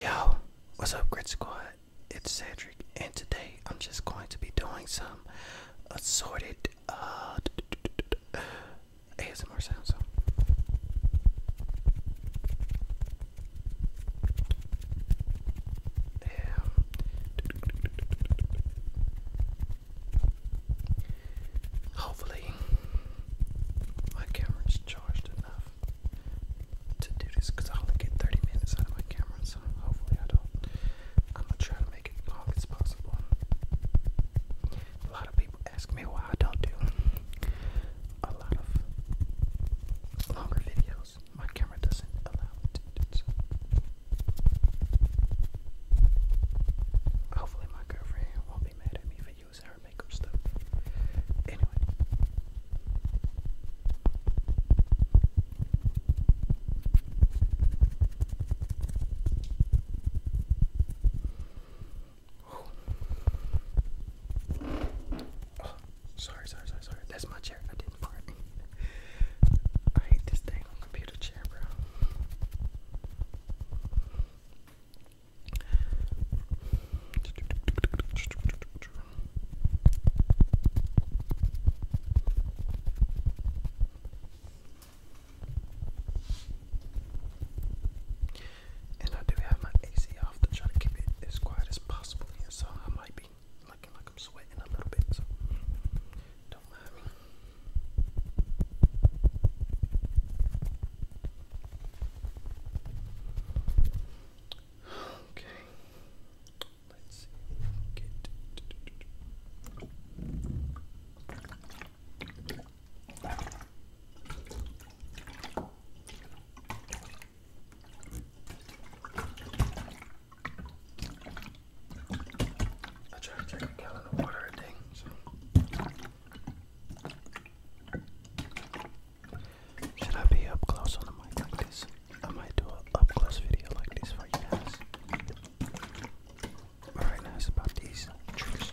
Yo, what's up, Grid Squad? It's Cedric, and today I'm just going to be doing some assorted uh, ASMR sounds. Yeah. Hopefully, my camera's charged enough to do this because i only get 30 minutes out of my camera, so hopefully I don't. I'm gonna try to make it long as possible. A lot of people ask me why I don't do a lot of longer videos. My camera doesn't allow me so. Hopefully my girlfriend won't be mad at me for sorry, sorry, sorry, sorry. That's my chair. I didn't fart. I hate this dang computer chair, bro. And I do have my AC off to try to keep it as quiet as possible so I might be looking like I'm sweating a little bit, so don't mind me. Okay. Let's Get I try to drink a gallon of water a day, should I be up close on the mic like this? I might do an up close video like this for you guys. But about these tricks,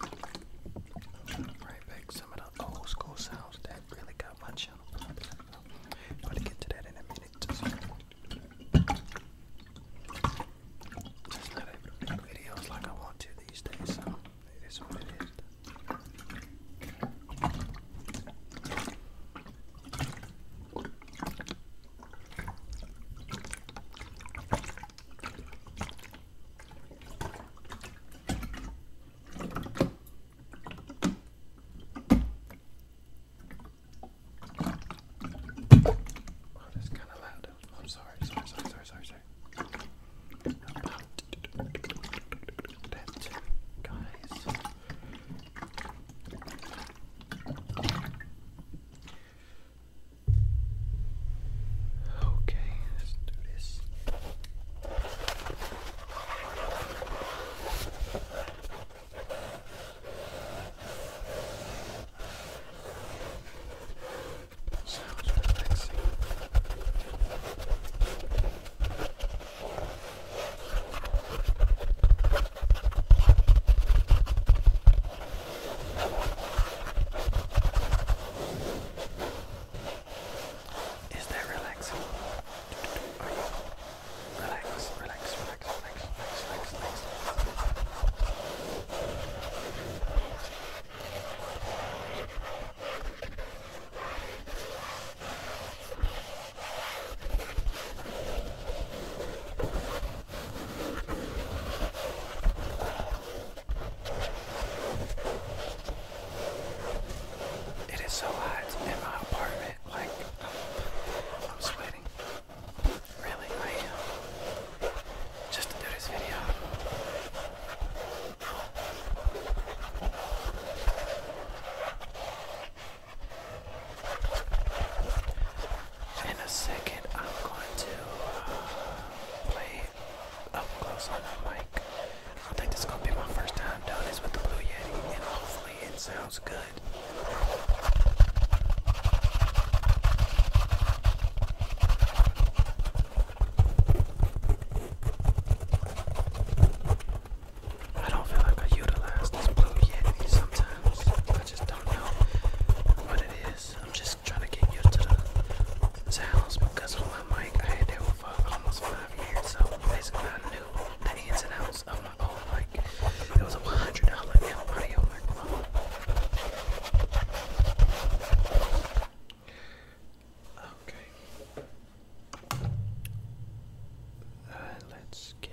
Right back some of the old school sounds that really got my channel. But to get to that in a minute. Just, just not able to make videos like I want to these days, so what it is. Oh, that's kind of loud. I'm sorry, sorry, sorry, sorry, sorry, sorry. About that, guys. Okay, let's do this. Sounds relaxing. Is that relaxing? Are you relax, relax, relax, relax, relax, relax, relax. It is so hot in my apartment, like, I'm, I'm sweating. Really, I am. Just to do this video in a second, I'm going to uh, play up close on the mic. I think this is going to be my first time doing this with the Blue Yeti, and hopefully it sounds good. I don't feel like I utilize this Blue Yeti sometimes. I just don't know what it is. I'm just was trying to get used to the sounds because of my mic. I had that one for almost five years, so basically I knew the ins and outs of my own mic. It was a $100 audio microphone. Okay. Uh, let's get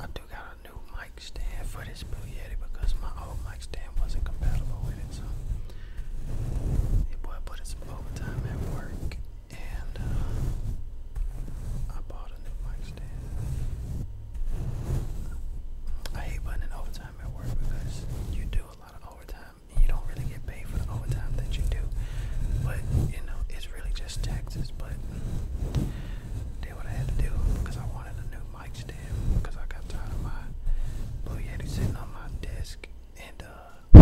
I do got a new mic stand for this Blue Yeti because my old mic stand wasn't compatible with it, so Hey boy, put in some overtime at work, and uh, I bought a new mic stand. I hate putting in overtime at work because you do a lot of overtime, and you don't really get paid for the overtime that you do. But you know, it's really just taxes. But did what I had to do because I wanted a new mic stand because I got tired of my Blue Yeti sitting on my desk and uh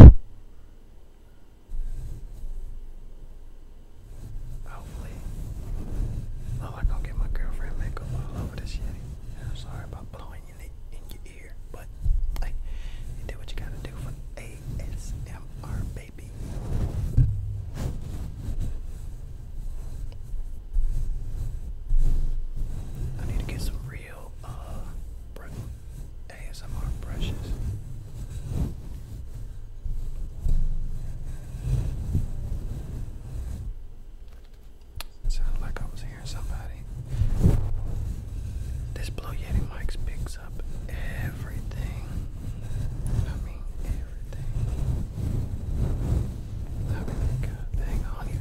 hopefully oh I gonna get my girlfriend makeup all over this shit. I'm sorry about blowing your ear, but hey, you do what you gotta do for ASMR baby. I need to get some real ASMR uh, brushes. sounded like I was hearing somebody. This Blue Yeti mics picks up everything. I mean everything. I mean, God dang, I don't even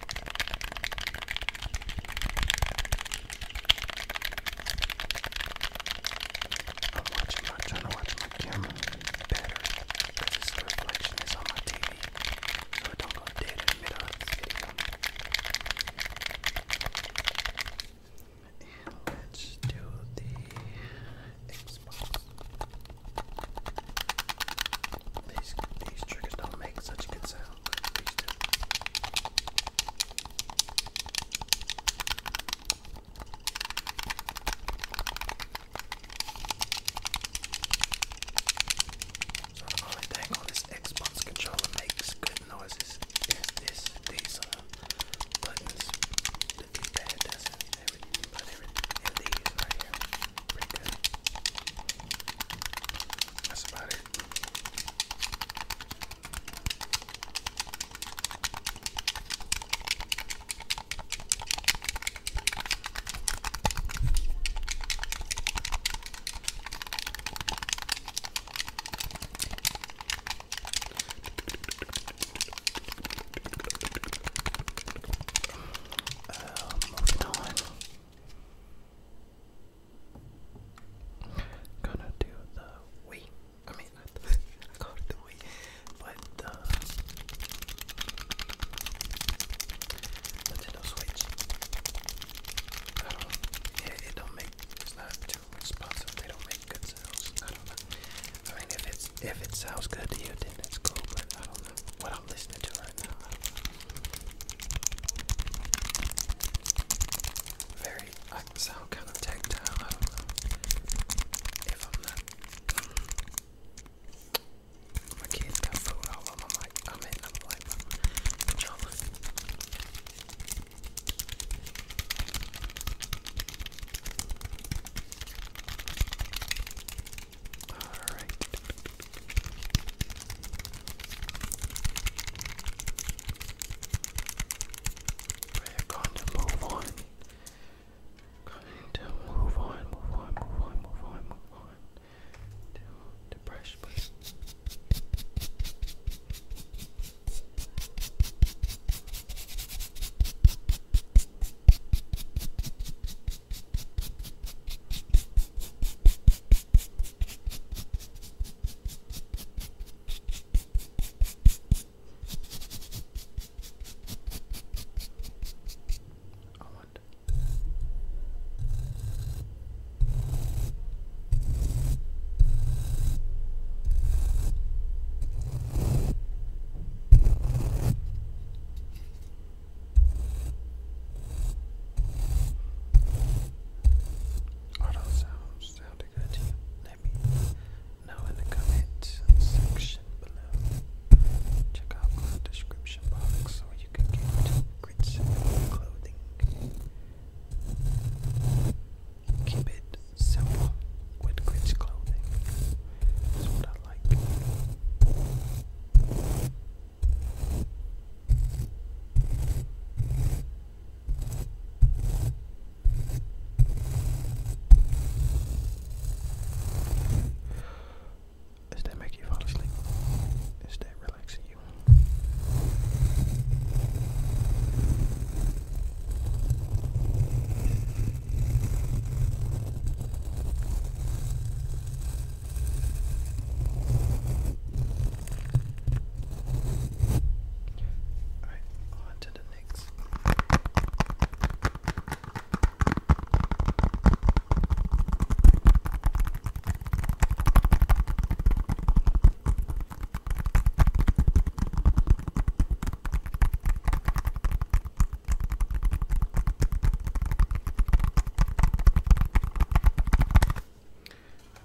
I'm watching my trying to watch my camera better because it's the reflection is on my TV so it don't go dead And let's do the Xbox these these triggers don't make such good sound, So the only thing on this Xbox controller makes good noises this these uh, buttons. The d doesn't. But in, in these right here, pretty good. That's about it. Um, gonna do the Wii. I mean, I called the Wii, but uh, Nintendo Switch. I don't. it don't make. It's not too responsive. They don't make good sounds. I don't know. I mean, if it's if it sounds good to you, then it's cool. But I don't know what I'm listening to right now. Very, I sound kind of tactile. if I'm not. My kids got food all over my mic. I mean, I'm like my controller. Alright. We're going to move on. Going to move on, move on, move on, move on, move on. To brush, brush Almond. Auto sounds sounded good to you. Let me in the comment section below. Check out my description box so you can get grits and clothing. Keep it simple with glitch clothing. That's what I like. Is that make you fall asleep? Is that relaxing you? Alright, on to the next.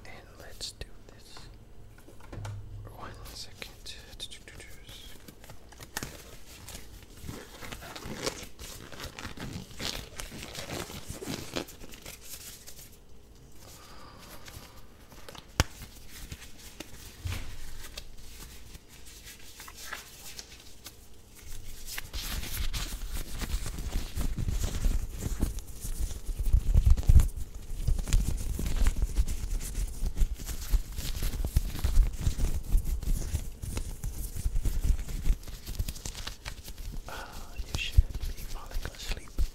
And let's do this. One second. Uh, you should be falling asleep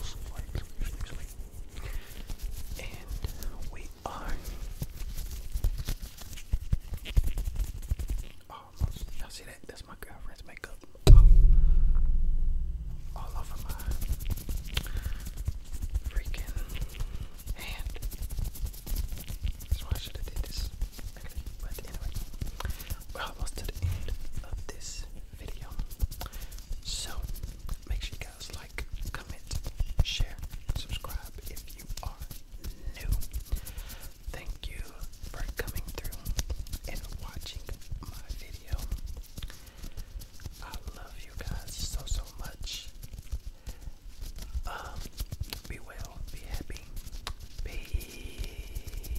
smells like And we are almost. Y'all see that? That's my girlfriend's makeup. Oh, All over my freaking hand. That's why I should have did this. but anyway, we're almost to the end of this video. So Make sure you guys like, comment, share, subscribe if you are new. Thank you for coming through and watching my video. I love you guys so so much. Um, be well, be happy. Peace.